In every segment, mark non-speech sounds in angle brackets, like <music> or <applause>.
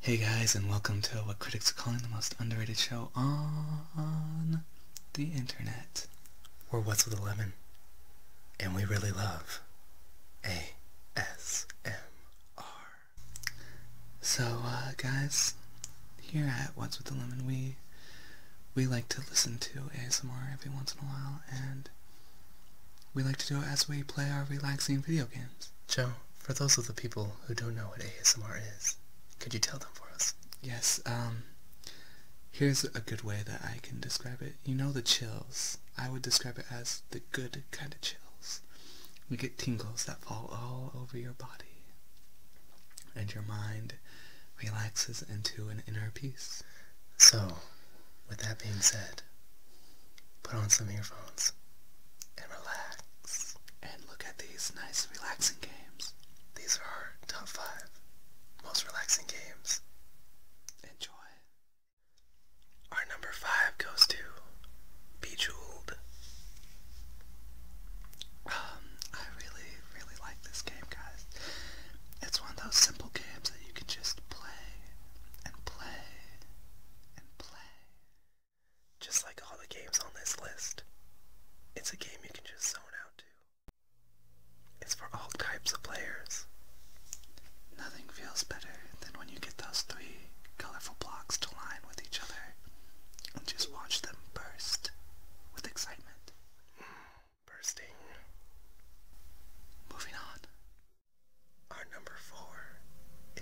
Hey guys, and welcome to what critics are calling the most underrated show on the internet. We're What's with the Lemon, and we really love ASMR. So, uh, guys, here at What's with the Lemon, we we like to listen to ASMR every once in a while, and we like to do it as we play our relaxing video games. Joe, for those of the people who don't know what ASMR is, could you tell them for us? Yes, um, here's a good way that I can describe it. You know the chills. I would describe it as the good kind of chills. We get tingles that fall all over your body, and your mind relaxes into an inner peace. So, with that being said, Put on some earphones and relax and look at these nice relaxing games. These are our top five most relaxing games. Enjoy. Our number five goes to Bejeweled. Um, I really, really like this game, guys. It's one of those simple games that you can just play and play and play. Just like all the games on this list, it's a game you can just zone out to. It's for all types of players. Nothing feels better than when you get those three colorful blocks to line with each other and just watch them burst with excitement bursting. Moving on. Our number four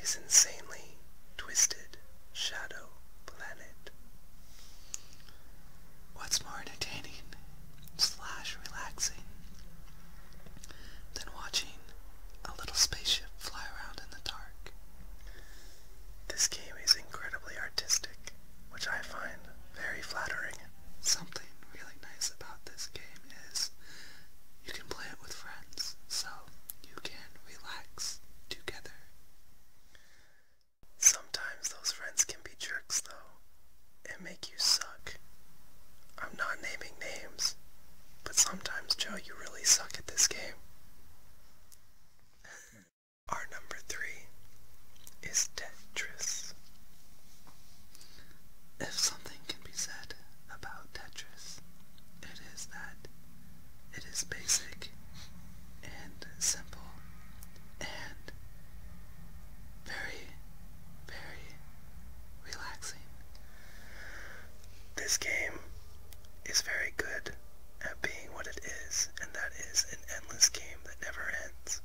is Insanely Twisted Shadow Planet. What's more entertaining slash relaxing than watching a little spaceship fly around in the dark? This game is incredibly artistic which I find very flattering. Something really nice about this game is you can play it with friends, so you can relax together. Sometimes those friends can be jerks though, and make you suck. I'm not naming names, but sometimes Joe, you really suck at this game. <laughs> Our number three is Tetris. If something can be said about Tetris, it is that it is basic and simple and very, very relaxing. This game is very good at being what it is, and that is an endless game that never ends.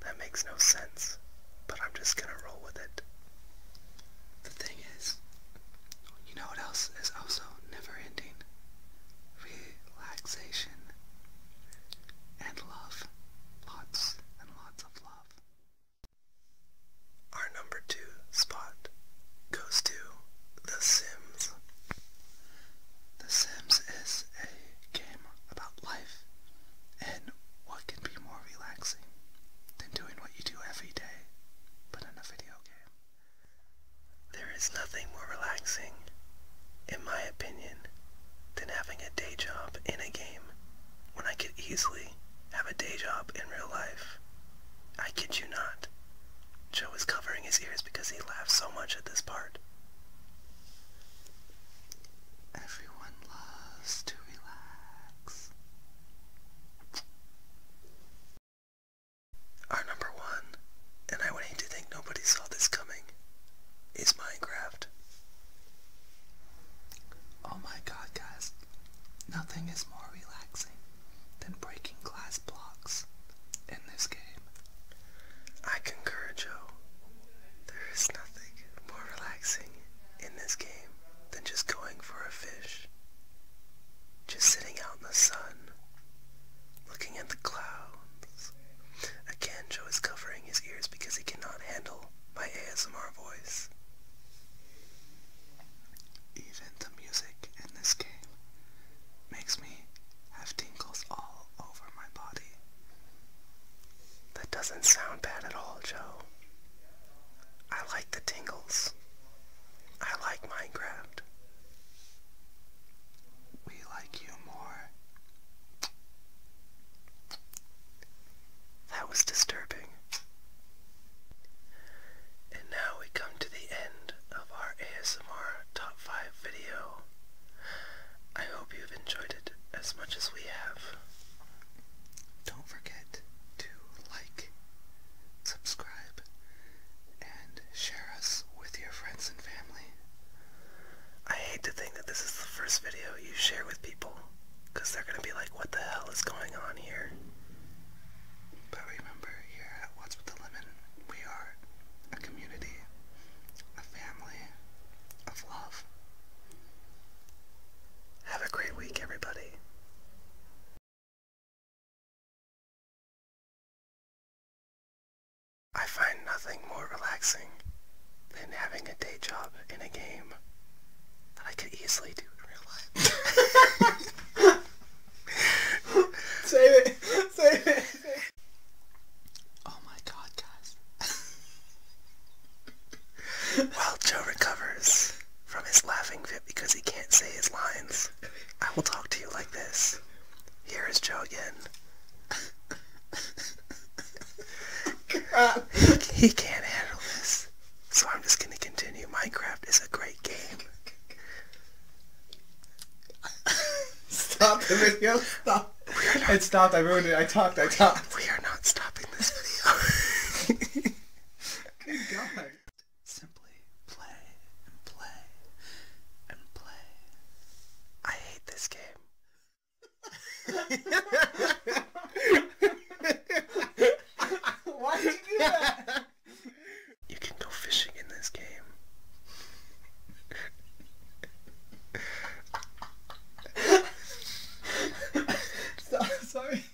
That makes no sense, but I'm just gonna roll with it. The thing is, you know what else is also never ending? Relaxation and love. Lots and lots of love. Our number two spot goes to The Sims. The Sims is a game about life, and what can be more relaxing than doing what you do every day, but in a video game? There is nothing more relaxing, in my opinion, than having a day job in a game when I could easily have a day job in real life. I kid you not. Joe is covering his ears because he laughs so much at this part. Everyone loves to relax. Our number one, and I would hate to think nobody saw this coming, is Minecraft. Oh my god, guys. Nothing is more relaxing than breaking glass blocks in this game. I concur, Joe. There is nothing more relaxing in this game than just going for a fish. Just sitting out in the sun, looking at the clouds. Again, Joe is covering his ears because he cannot handle my ASMR voice. Even the music in this game makes me have tingles all over my body. That doesn't sound bad at all, Joe. I like the tingles. I like Minecraft. We like you more. That was disturbing. And now we come to the end of our ASMR Top 5 video. I hope you've enjoyed it as much as we have. Don't forget to like, subscribe, and share us with your friends and family. I hate to think that this is the first video you share with people because they're going to be like, what the hell is going on here? But remember, here at What's With The Lemon, we are a community, a family of love. Have a great week, everybody. I find nothing more relaxing than having a day job in a game that I could easily do in real life. <laughs> Save it. Save it. Oh my god, guys. While Joe recovers from his laughing fit because he can't say his lines, I will talk to you like this. Here is Joe again. <laughs> he can't handle this. So I'm just gonna continue. Minecraft is a great game. Stop the video. Stop. Not, stopped. I ruined it. I talked. I talked. We are not stopping this video. Good God. Simply play and play and play. I hate this game. why you can go fishing in this game. <laughs> sorry.